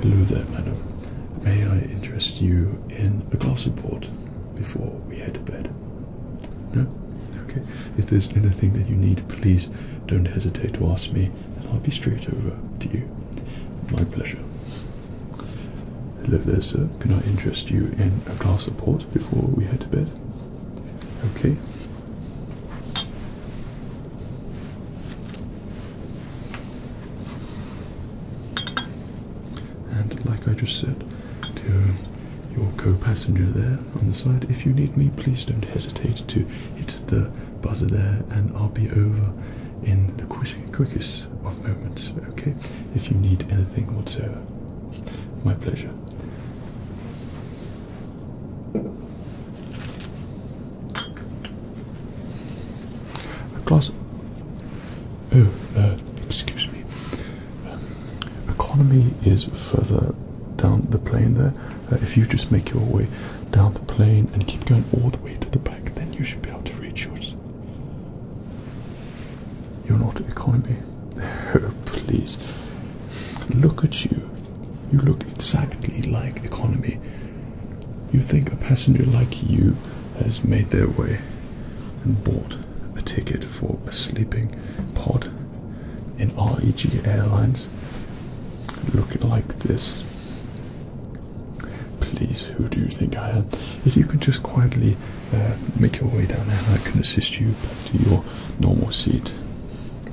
Hello there, madam. May I interest you in a glass of port before we head to bed? No? Okay. If there's anything that you need, please don't hesitate to ask me, and I'll be straight over to you. My pleasure. Hello there, sir. Can I interest you in a glass of port before we head to bed? Okay. And like I just said to your co passenger there on the side, if you need me, please don't hesitate to hit the buzzer there and I'll be over in the quick, quickest of moments, okay? If you need anything whatsoever. My pleasure. A glass. Oh, uh, excuse me. Um, economy is further down the plane there. Uh, if you just make your way down the plane and keep going all the way to the back, then you should be able to reach yours. You're not economy. Oh, please. Look at you. You look exactly like economy. You think a passenger like you has made their way and bought a ticket for a sleeping pod in REG Airlines? Look like this. Please, who do you think I am? If you could just quietly uh, make your way down there I can assist you back to your normal seat.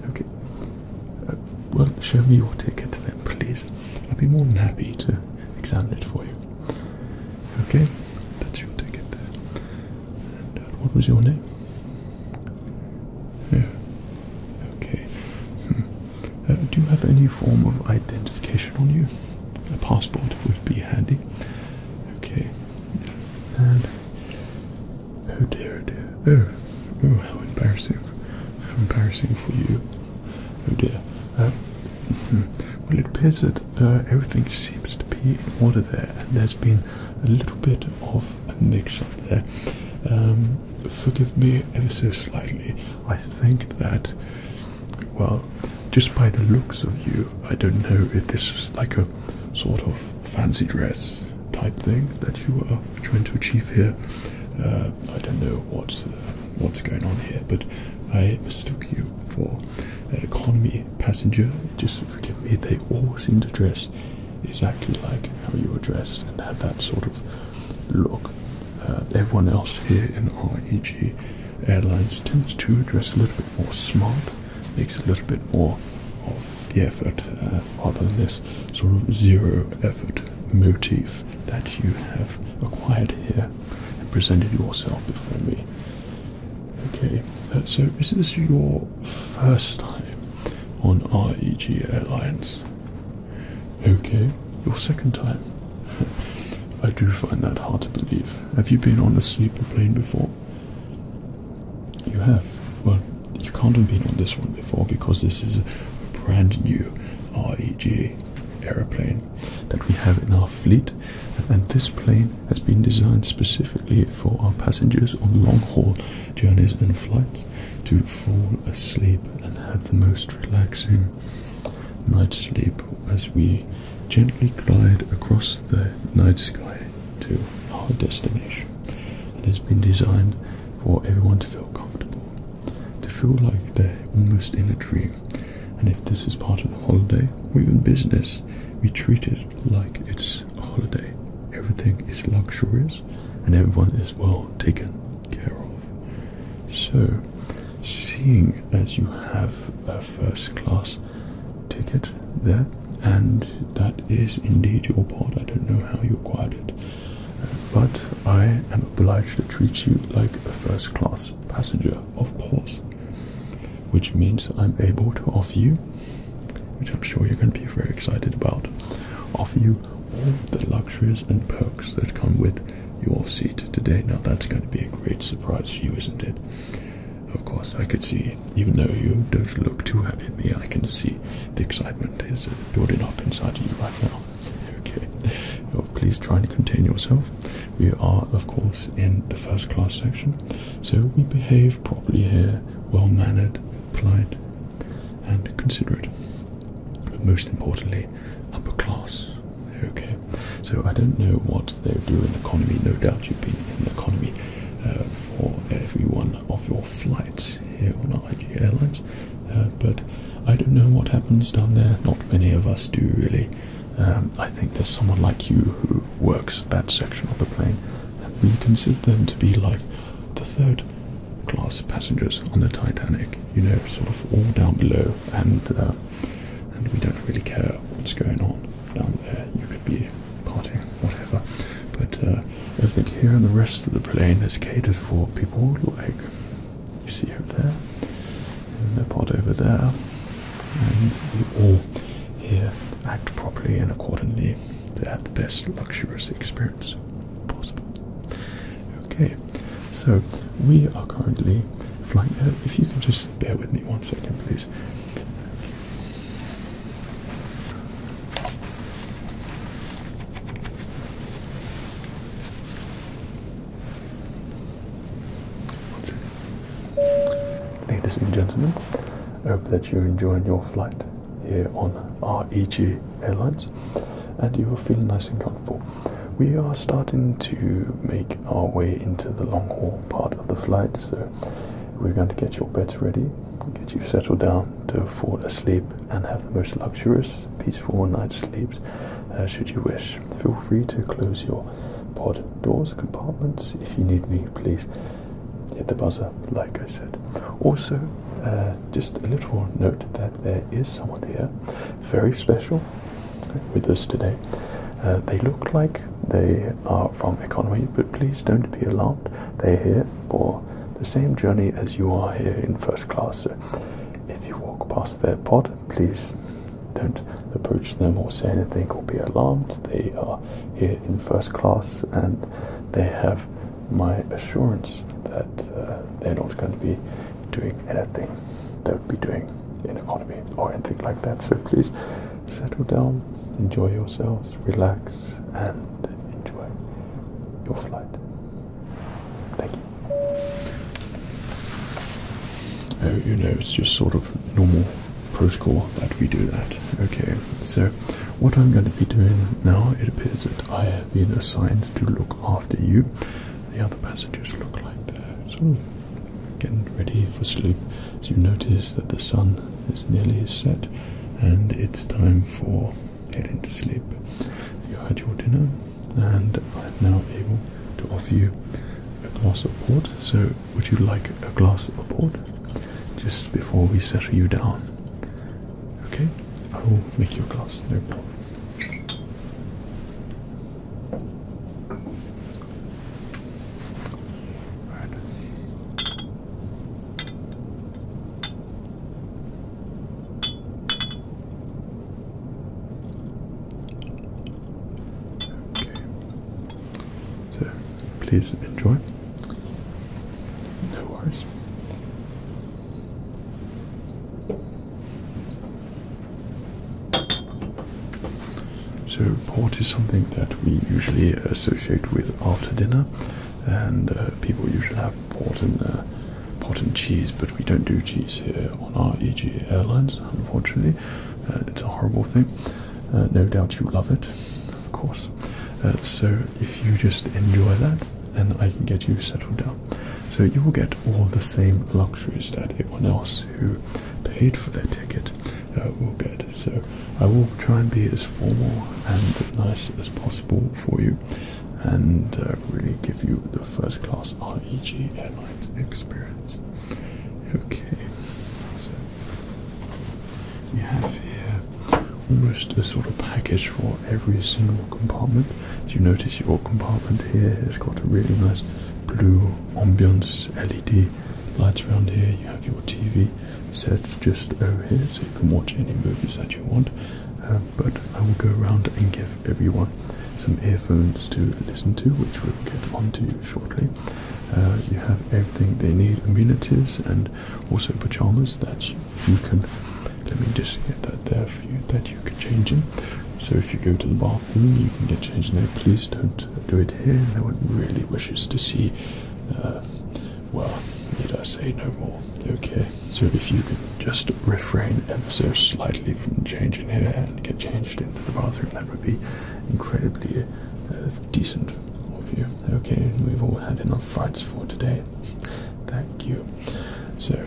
Okay. Uh, well, show me your ticket then, please. I'd be more than happy to examine it for you. Okay, that's your ticket there. Uh, what was your name? Yeah. Okay. Hmm. do you have any form of identification on you? A passport would be handy. Okay. And oh dear, oh dear. Oh, oh, how embarrassing! How embarrassing for you. Oh dear. Um, hmm. well, it appears that uh, everything seems to be in order there, and there's been a little bit of a mix-up there. Um, forgive me ever so slightly. I think that well, just by the looks of you, I don't know if this is like a sort of fancy dress type thing that you are trying to achieve here. Uh, I don't know what's uh, what's going on here, but I mistook you for an economy passenger. Just forgive me; they all seem to dress exactly like how you are dressed and have that sort of look. Uh, everyone else here in REG Airlines tends to dress a little bit more smart makes a little bit more of the effort uh, rather than this sort of zero effort motif that you have acquired here and presented yourself before me. Okay, uh, so is this your first time on REG Airlines? Okay, your second time. I do find that hard to believe. Have you been on a sleeper plane before? You have. Well, you can't have been on this one before because this is a brand new REG aeroplane that we have in our fleet, and this plane has been designed specifically for our passengers on long haul journeys and flights to fall asleep and have the most relaxing night's sleep as we gently glide across the night sky to our destination. It has been designed for everyone to feel comfortable, to feel like they're almost in a dream. And if this is part of the holiday or even business, we treat it like it's a holiday. Everything is luxurious and everyone is well taken care of. So, seeing as you have a first class ticket there, and that is indeed your pod. I don't know how you acquired it, but I am obliged to treat you like a first class passenger, of course, which means I'm able to offer you, which I'm sure you're going to be very excited about, offer you all the luxuries and perks that come with your seat today. Now, that's going to be a great surprise for you, isn't it? Of course, I could see, even though you don't look too happy at me, I can see the excitement is building up inside you right now. Okay, oh, please try and contain yourself. We are, of course, in the first class section, so we behave properly here, well mannered, polite, and considerate. But most importantly, upper class. Okay, so I don't know what they are doing economy. No doubt you have been in economy uh, for every one of your flights here on Air IG Airlines. Uh, but I don't know what happens down there. Not many of us do really. Um, I think there's someone like you who works that section of the plane, and we consider them to be like the third class passengers on the Titanic. You know, sort of all down below, and uh, and we don't really care what's going on down there. You could be partying, whatever. But uh, I think here in the rest of the plane is catered for people like you see over there, and the pod over there, and we all here act properly and accordingly to have the best luxurious experience possible. Okay, so we are currently flying. Uh, if you can just bear with me one second, please. Ladies and gentlemen, I hope that you are enjoying your flight here on REG Airlines and you will feel nice and comfortable. We are starting to make our way into the long haul part of the flight, so we're going to get your beds ready, get you settled down to fall asleep, and have the most luxurious, peaceful night's sleep, uh, should you wish, feel free to close your pod doors, compartments. If you need me, please hit the buzzer, like I said. Also, uh, just a little note that there is someone here, very special, with us today. Uh, they look like they are from economy, but please don't be alarmed. They're here for the same journey as you are here in first class. So if you walk past their pod, please don't approach them or say anything or be alarmed. They are here in first class and they have my assurance that uh, they're not going to be doing anything they would be doing in economy or anything like that. So please settle down, enjoy yourselves, relax, and enjoy your flight. Thank you. Oh, you know, it's just sort of normal protocol that we do that. Okay, so what I'm going to be doing now, it appears that I have been assigned to look after you. The other passengers look like they're sort of getting ready for sleep. as you notice that the sun is nearly set and it's time for heading to sleep. You had your dinner and I'm now able to offer you a glass of port. So would you like a glass of port just before we settle you down? Okay, I will make your glass, no problem. Okay. So please enjoy. No worries. So, port is something that we usually associate with after dinner, and uh, people usually have port and, uh, port and cheese, but we don't do cheese here on our EG Airlines, unfortunately. Uh, it's a horrible thing. no doubt you love it, of course. so, if you just enjoy that, and I can get you settled down. So, you will get all the same luxuries that anyone else who paid for their ticket will get. So I will try and be as formal and nice as possible for you and uh, really give you the first class REG Airlines experience. Okay, so we have here almost a sort of package for every single compartment. Do you notice your compartment here has got a really nice blue ambience LED Lights around here, you have your TV set just over here so you can watch any movies that you want. Uh, but I will go around and give everyone some earphones to listen to, which we'll get onto shortly. Uh, you have everything they need, amenities and also pajamas that you can, let me just get that there for you, that you can change in. So if you go to the bathroom, you can get changed there. Please don't do it here. No one really wishes to see uh, well, need I say no more? Okay, so if you could just refrain ever so slightly from changing here and get changed into the bathroom, that would be incredibly uh, decent of you. Okay, we've all had enough fights for today. Thank you. So,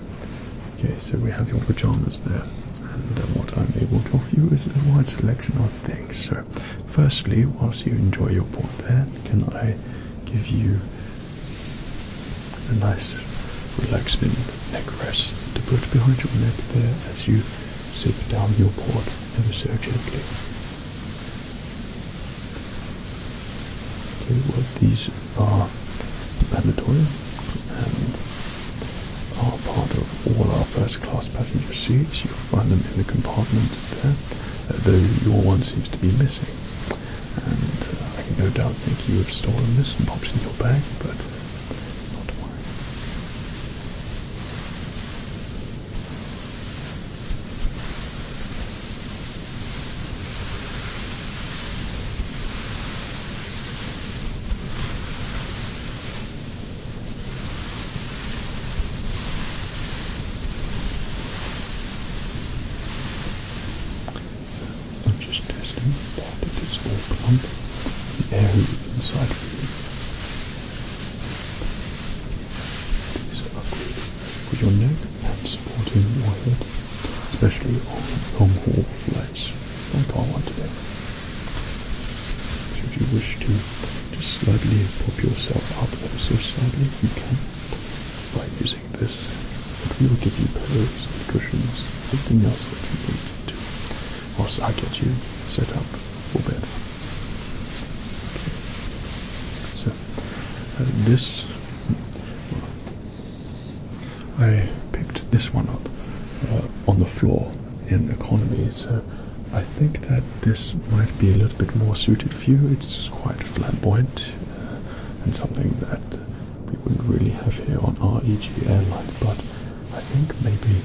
okay, so we have your pajamas there, and uh, what I'm able to offer you is a wide selection of things. So, firstly, whilst you enjoy your board there, can I give you a nice relaxing neck rest to put behind your neck there as you sip down your port ever so gently. Okay, well these are mandatory and are part of all our first class passenger seats. You'll find them in the compartment there though your one seems to be missing. And uh, I can no doubt think you have stolen this and popped it in your bag, but not mine. I'm just testing that it is all plump, the air inside for you. These are good for your neck and supporting your head, especially on long haul flights like I want to do. Should you wish to just slightly pop yourself up also slightly if you can by using this. But we will give you pillows and cushions, everything else that you need to. Whilst I get you set up for bed. So uh, this I picked this one up uh, on the floor in economy, so I think that this might be a little bit more suited for you. It's quite flamboyant uh, and something that we wouldn't really have here on our EG airline, but I think maybe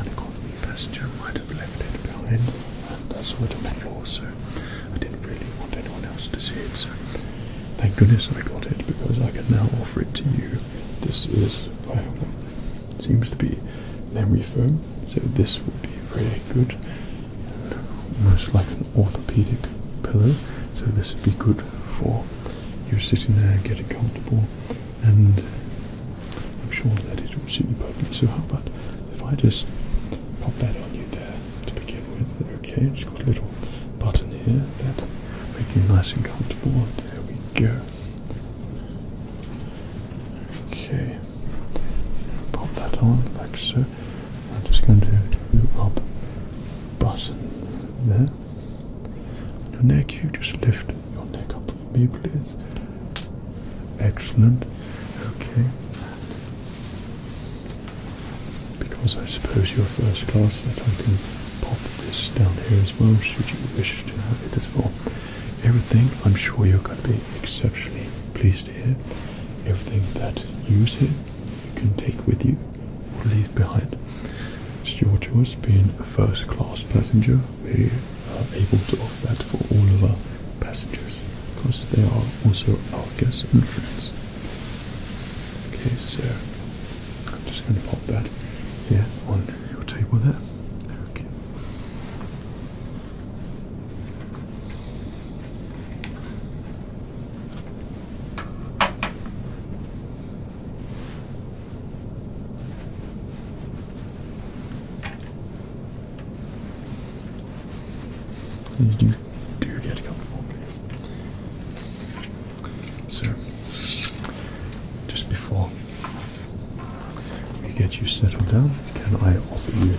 an economy passenger might have left it behind and that's what i on the so I didn't really want anyone else to see it. So thank goodness I got it because I can now offer it to you. This is, well, it seems to be memory foam so this would be very good, almost like an orthopedic pillow. So this would be good for you sitting there, getting comfortable, and I'm sure that it would suit you perfectly. So how about if I just pop that on you there to begin with? Okay, it's got a little button here that makes you nice and comfortable. There we go. Okay pop that on like so. I'm just going to loop up button there. On your neck, you just lift your neck up for me, please. Excellent. Okay. Because I suppose you're first class, that I can pop this down here as well, should you wish to have it as well. Everything, I'm sure you're going to be exceptionally pleased here, everything that you see, you can take with you or leave behind. It's your choice being a first class passenger. We are able to offer that for all of our passengers because they are also our guests and friends. Okay, so I'm just going to pop that here on your table there. Okay. So you do, do get comfortable. So, just before let me get you settled down. Can I offer you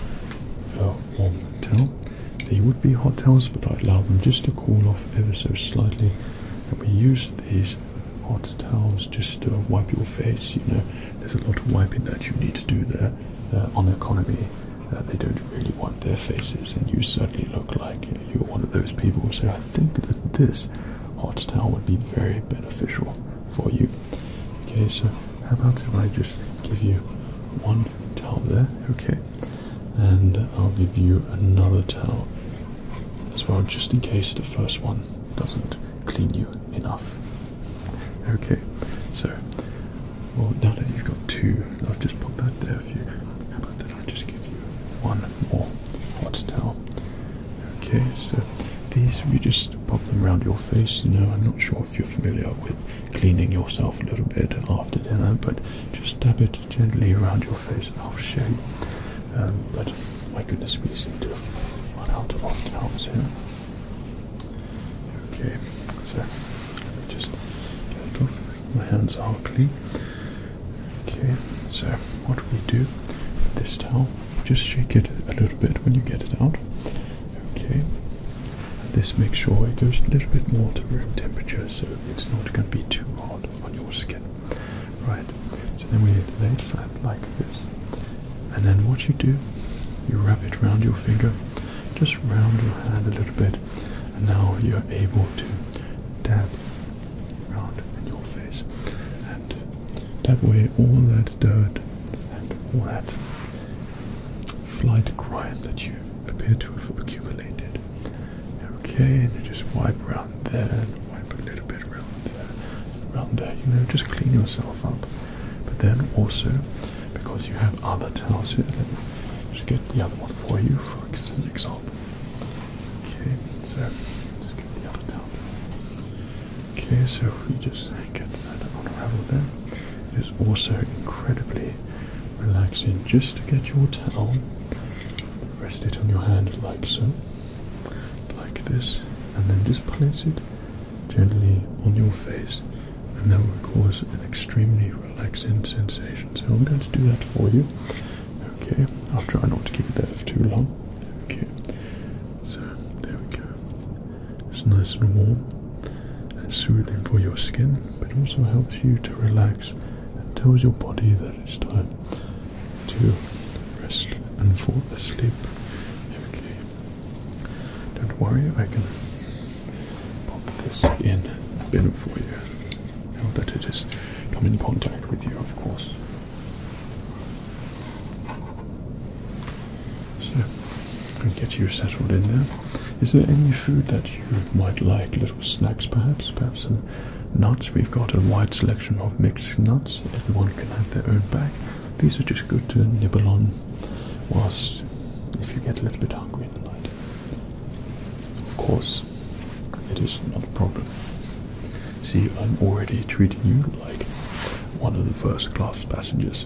a warm towel? They would be hot towels, but I would allow them just to cool off ever so slightly. And we use these hot towels just to wipe your face. You know, there's a lot of wiping that you need to do there uh, on economy. Uh, they don't really wipe their faces, and you certainly look like you're one of those people. So I think that this hot towel would be very beneficial for you. Okay, so how about if I just give you one towel there, okay? And I'll give you another towel as well, just in case the first one doesn't clean you enough. Okay, so well now that you've got two, I've just put that there for you. How about that I just give you one more hot towel? Okay, so these you just pop them around your face, you know, I'm not sure if you're familiar with cleaning yourself a little bit after dinner, but just dab it gently around your face and I'll um, but my goodness, we seem to run out of towels here. Okay, so let me just get off. My hands are clean. Okay, so what we do with this towel, just shake it a little bit when you get it out. Okay, this makes sure it goes a little bit more to room temperature so it's not going to be too hot on your skin. Right, so then we lay it flat like this. And then what you do, you wrap it around your finger, just round your hand a little bit, and now you're able to dab around in your face. And that way all that dirt and all that flight grime that you appear to have accumulated. Okay, and you just wipe around there, wipe a little bit around there, around there, you know, just clean yourself up. But then also, because you have other towels here, just get the other one for you, for example. Okay, so just get the other towel. Okay, so we just get that unravel there. It is also incredibly relaxing just to get your towel, rest it on your hand like so, like this, and then just place it gently on your face, and that will cause an extremely relaxing sensation. So I'm going to do that for you. Okay, I'll try not to keep it there for too long. Okay, so there we go. It's nice and warm and soothing for your skin, but also helps you to relax and tells your body that it's time to rest and fall asleep. Okay. Don't worry, I can pop this in a for you. Now that it has come in contact with you, of course. So i get you settled in there. Is there any food that you might like? Little snacks perhaps? Perhaps some nuts? We've got a wide selection of mixed nuts. Everyone can have their own bag. These are just good to nibble on whilst if you get a little bit hungry in the night. Of course, it is not a problem. See, I'm already treating you like one of the first class passengers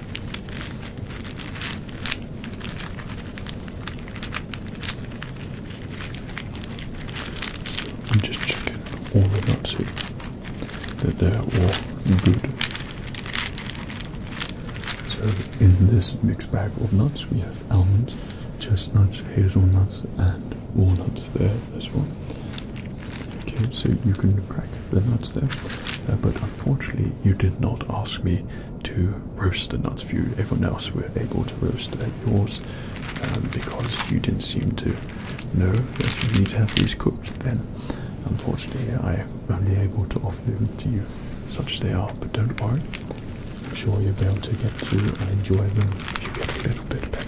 I'm just all the nuts here they're all good. So in this mixed bag of nuts we have almonds, chestnuts, hazelnuts and walnuts there as well. Okay, so you can crack the nuts there, uh, but unfortunately you did not ask me to roast the nuts for you. Everyone else were able to roast uh, yours um, because you didn't seem to know that you need to have these cooked. Then, unfortunately, I'm only able to offer them to you, such as they are. But don't worry, I'm sure you'll be able to get through and enjoy them if you get a little bit of package.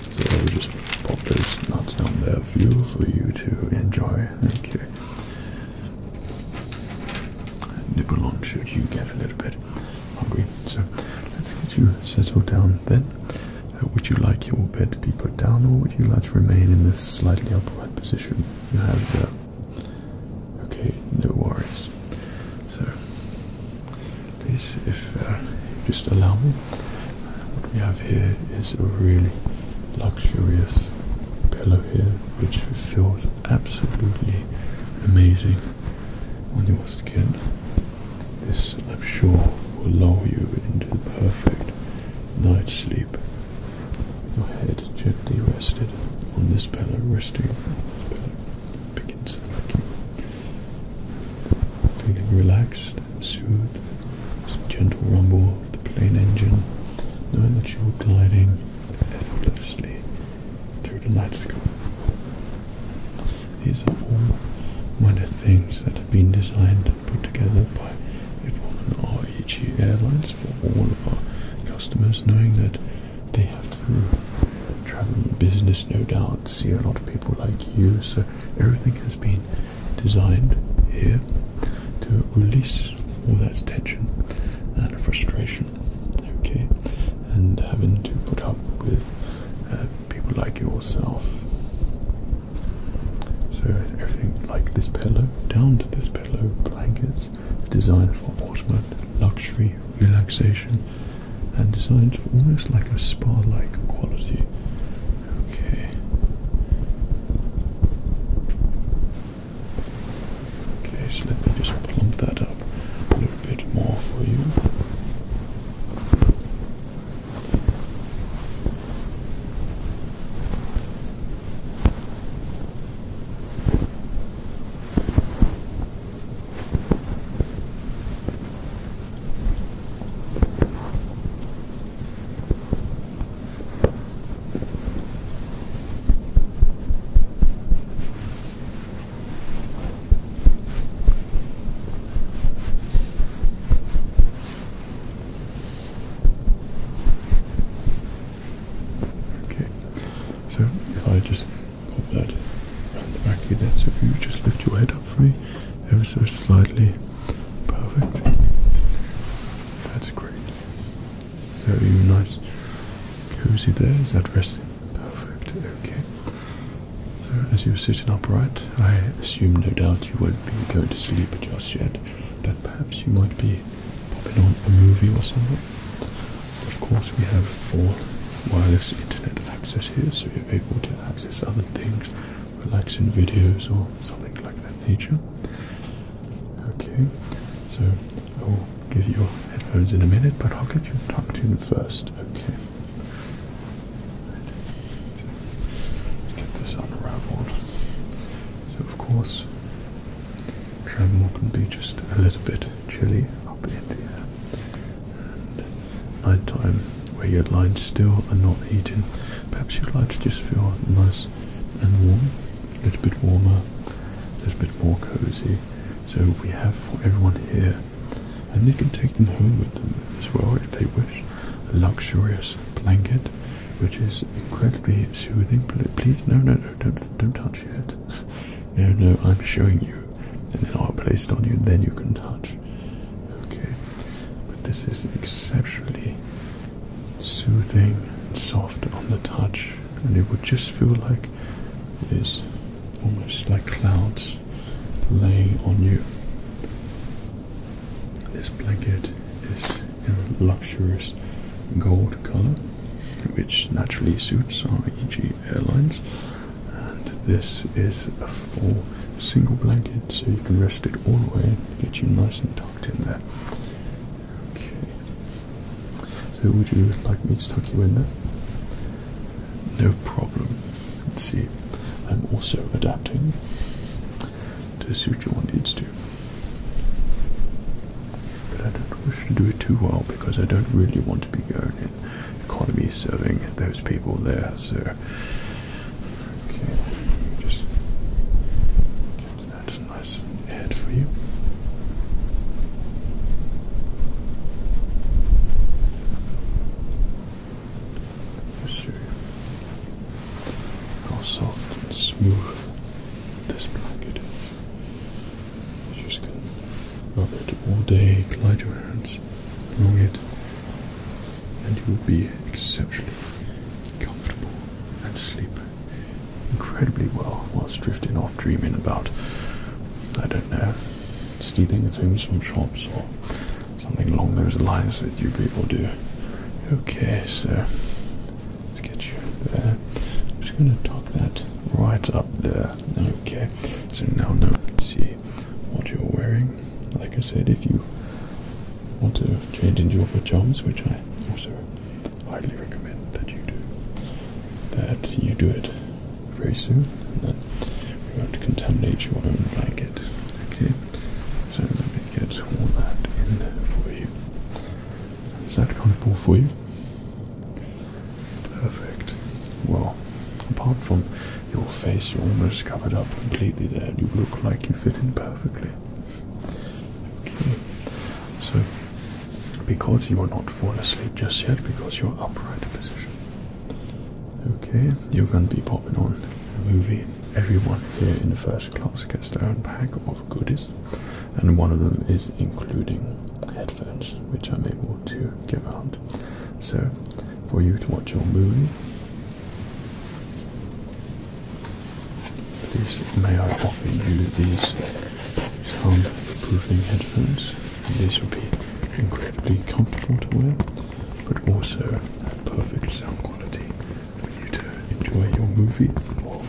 So we just pop those nuts down there for you, for you to enjoy. Okay. Nibble on should you get a little bit hungry. So let's get you settled down then. Uh, would you like your bed to be put down or would you like to remain in this slightly upright position you have there? Uh, okay, no worries. So please, if uh, just allow me. What we have here is a really luxurious pillow here, which feels absolutely amazing on your skin. This, I'm sure, will lower you into the perfect night's sleep. Your head gently rested on this pillow, resting pillow, begins to Feeling relaxed and soothed. It's a gentle rumble of the plane engine, knowing that you're gliding effortlessly through the night sky. These are all one of the things that have been designed and put together by everyone and REG Airlines for all of our customers, knowing that they have to travel business, no doubt, see a lot of people like you, so everything has been designed here to release all that tension and frustration, okay, and having to put up with uh, people like yourself. So everything like this pillow, down to this pillow, blankets, designed for ultimate luxury, relaxation, and designed almost like a spa-like quality Okay. Okay, so let me just plump that up a little bit more for you. Okay, so if I just pop that around the back of your head, so if you just lift your head up for me ever so slightly. Perfect. That's great. So you are nice cozy there? Is that resting? Perfect. Okay. So as you're sitting upright, I assume no doubt you won't be going to sleep just yet. But perhaps you might be popping on a movie or something. Of course we have full wireless internet access here so you're able to access other things relaxing videos or something like that nature. Okay, so I will give you headphones in a minute, but I'll get you tucked in first. Okay. Let's get this unraveled. So, of course, travel can be just a little bit chilly up in the air, and nighttime where your lines still are not eating, Perhaps you'd like to just feel nice and warm, a little bit warmer, a little bit more cozy. So we have for everyone here, and they can take them home with them as well if they wish. A luxurious blanket, which is incredibly soothing. Please, no, no, no, don't, don't touch it. no, no, I'm showing you, and then I'll place it on you. Then you can touch. Okay, but this is exceptionally soothing and soft on the touch, and it would just feel like it is almost like clouds laying on you. This blanket is in a luxurious gold color, which naturally suits our EG Airlines, and this is a full single blanket so you can rest it all the way and get you nice and tucked in there. Okay. So would you like me to tuck you in there? No problem. see. I'm also adapting to suit your needs too. But I don't wish to do it too well because I don't really want to be going in economy serving those people there, so Okay, just get that nice head for you. Yes, sir. How soft and smooth this blanket is. You just can rub it all day, glide your hands along it and you would be exceptionally comfortable and sleep incredibly well whilst drifting off dreaming about, I don't know, stealing things from shops or something along those lines that you people do. Who cares? let's get you there. I'm just going to tuck that right up there. Okay, so now no one can see what you're wearing. Like I said, if you want to change into your pajamas, which I also highly recommend that you do, that you do it very soon, and then we won't contaminate your own blanket. Okay, so let me get all that in for you. Is that comfortable for you? Perfect. Well, apart from your face, you're almost covered up completely there, you look like you fit in perfectly. Okay, so because you are not falling asleep just yet, because you're upright position. Okay, you're going to be popping on a movie. Everyone here in the first class gets their own pack of goodies, and one of them is including headphones, which I'm able to give out. So, for you to watch your movie, Please, may I offer you these soundproofing headphones? These will be incredibly comfortable to wear, but also have perfect sound quality for you to enjoy your movie or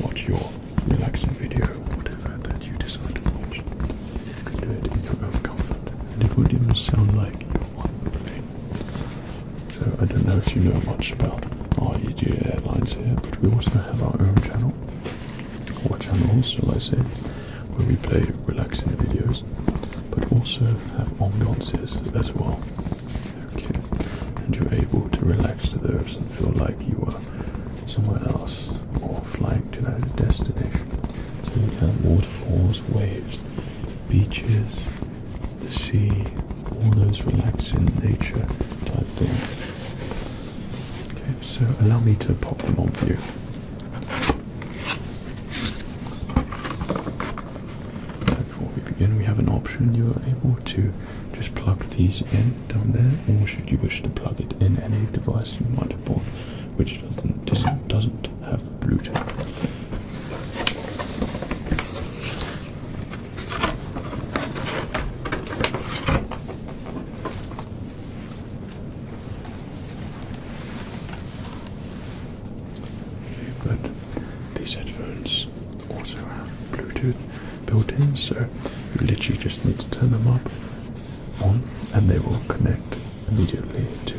watch your relaxing video, whatever that you decide to watch. You can do it in your own comfort, and it will even sound like you're on the so I don't know if you know much about REG Airlines here, but we also have our own channel, or channels shall I say, where we play relaxing videos, but also have ambiances as well. Okay, and you're able to relax to those and feel like you are somewhere else or flying to that destination. So you have waterfalls, waves, beaches, sea, all those relaxing nature type things. Okay, so allow me to pop them on for you. before we begin, we have an option. You are able to just plug these in down there, or should you wish to plug it in any device you might have bought, which doesn't, doesn't have Bluetooth. But these headphones also have Bluetooth built in, so you literally just need to turn them up on and they will connect immediately to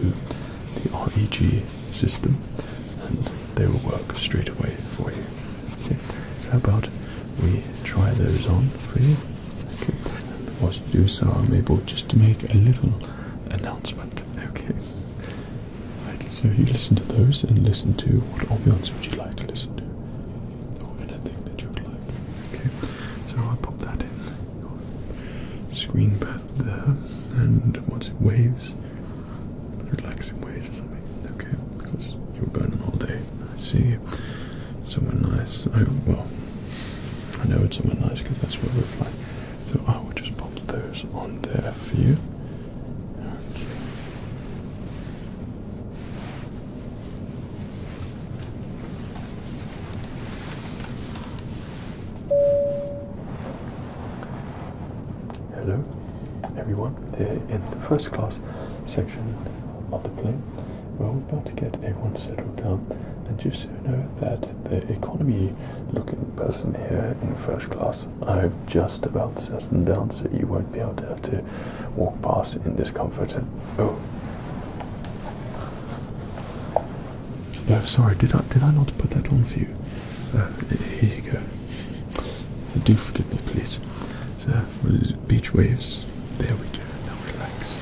the REG system and they will work straight away for you. Okay, so how about we try those on for you? Okay, and whilst you do so, I'm able just to make a little announcement. Okay, right, so you listen to those and listen to what ambience would you like to listen to? Or anything that you would like. Okay, so I'll pop that in screen pad there, and once it waves, relaxing ways or something. Okay, because you were burning all day. I see somewhere nice. I well, I know it's somewhere nice because that's where we're flying. So I will just pop those on there for you. Okay. Hello, everyone. They're in the first class section of the plane, we're about to get a one settled down. And just so you know that the economy looking person here in first class, I've just about settled down, so you won't be able to walk past in discomfort. Oh. No, sorry, did I did I not put that on for you? here you go. Do forgive me, please. So, Beach waves. There we go. Now Relax.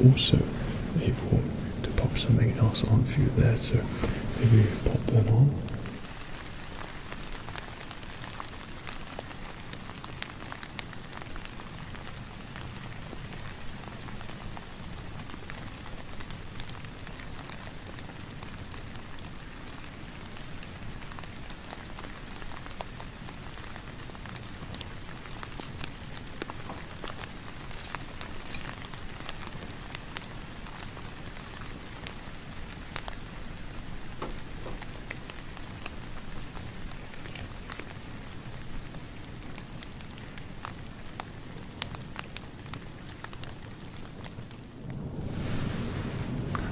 I'm Also able to pop something else on for you there, so maybe you pop that on.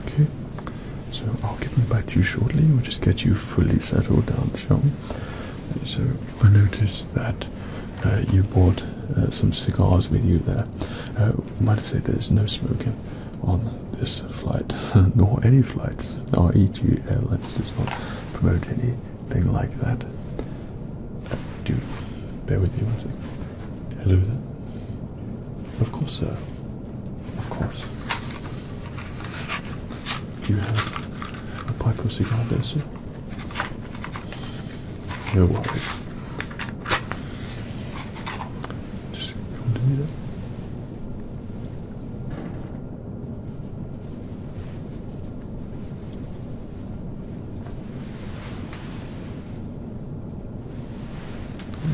Okay, so I'll get me back to you shortly. We'll just get you fully settled down, shall so I noticed that uh, you brought uh, some cigars with you there. Uh, might I say there's no smoking on this flight, nor any flights. REG Airlines does not promote anything like that. Do bear with me one second. Hello there. Of course, sir. Of course. Do you have a pipe of cigar there, sir? No worries. Just continue that.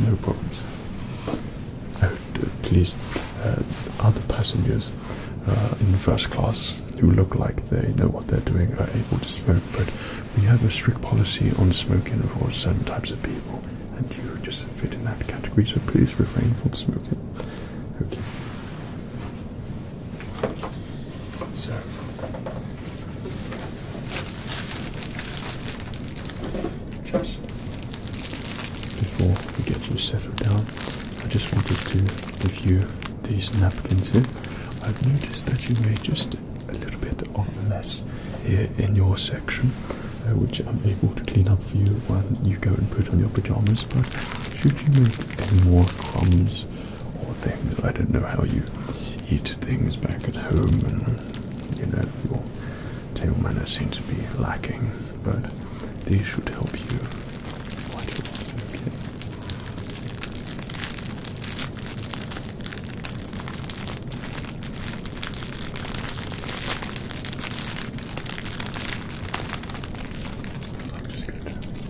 No problems. Oh, please uh, other passengers uh, in first class who look like they know what they're doing are able to smoke, but we have a strict policy on smoking for certain types of people, and you just fit in that category, so please refrain from smoking. Okay. So, just before we get you settled down, I just wanted to review these napkins here. I've noticed that you made just a little bit of mess here in your section, uh, which I'm able to clean up for you when you go and put on your pajamas. But should you make any more crumbs or things, I don't know how you eat things back at home, and you know your table manners seem to be lacking, but these should help you is I'm just going to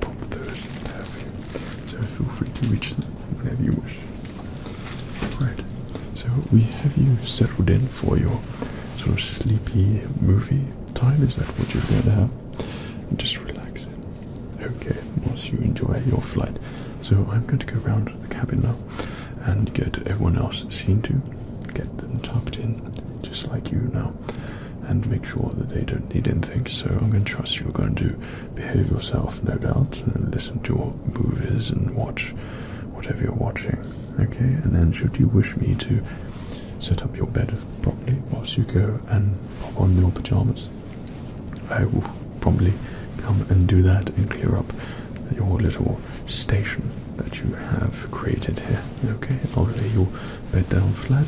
pop those in there for you. So feel free to reach them whenever you wish. Right, so we have you settled in for your sort of sleepy movie time is that what you're going to have? And just relaxing. Okay, Once you enjoy your flight. So I'm going to go around the cabin now and get everyone else seen to, get them tucked in, just like you now, and make sure that they don't need anything. So I'm going to trust you're going to behave yourself, no doubt, and listen to your movies and watch whatever you're watching. Okay, and then should you wish me to set up your bed properly whilst you go and pop on your pajamas. I will probably come and do that and clear up your little station that you have created here. Okay, I'll lay your bed down flat.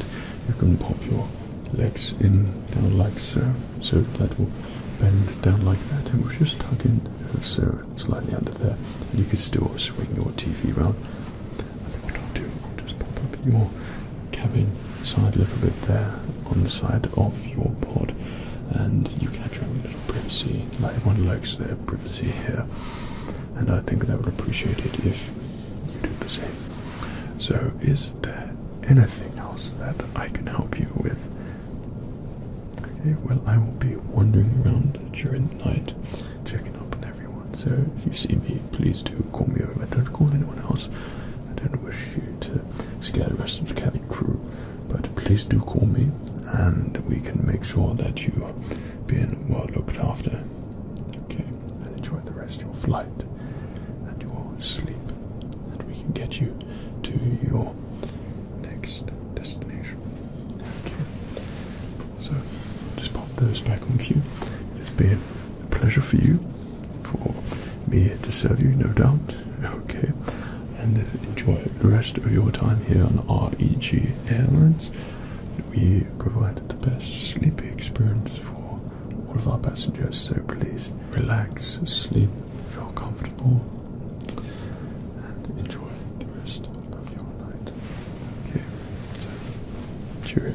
You can pop your legs in down like so. So that will bend down like that and we'll just tuck in so slightly under there. You can still swing your TV round I think what I'll do, I'll just pop up your cabin side a little bit there on the side of your pod, and you can have your own little privacy. everyone likes their privacy here, and I think they would appreciate it if you do the same. So, is there anything else that I can help you with? Okay, well, I will be wandering around during the night, checking up on everything everyone. So if you see me, please do call me over. Don't call anyone else. I don't wish you to scare the rest of the cabin crew, but please do call me, and we can make sure that you are being well looked after. Okay, and enjoy the rest of your flight and your sleep, and we can get you to your next destination. Okay. So just pop those back on queue. It's been a pleasure for you, for me to serve you, no doubt. Okay, and enjoy the rest of your time here on REG Airlines. We provided the best sleep experience for all of our passengers, so please relax, sleep, feel comfortable, and enjoy the rest of your night. Okay, so cheerio.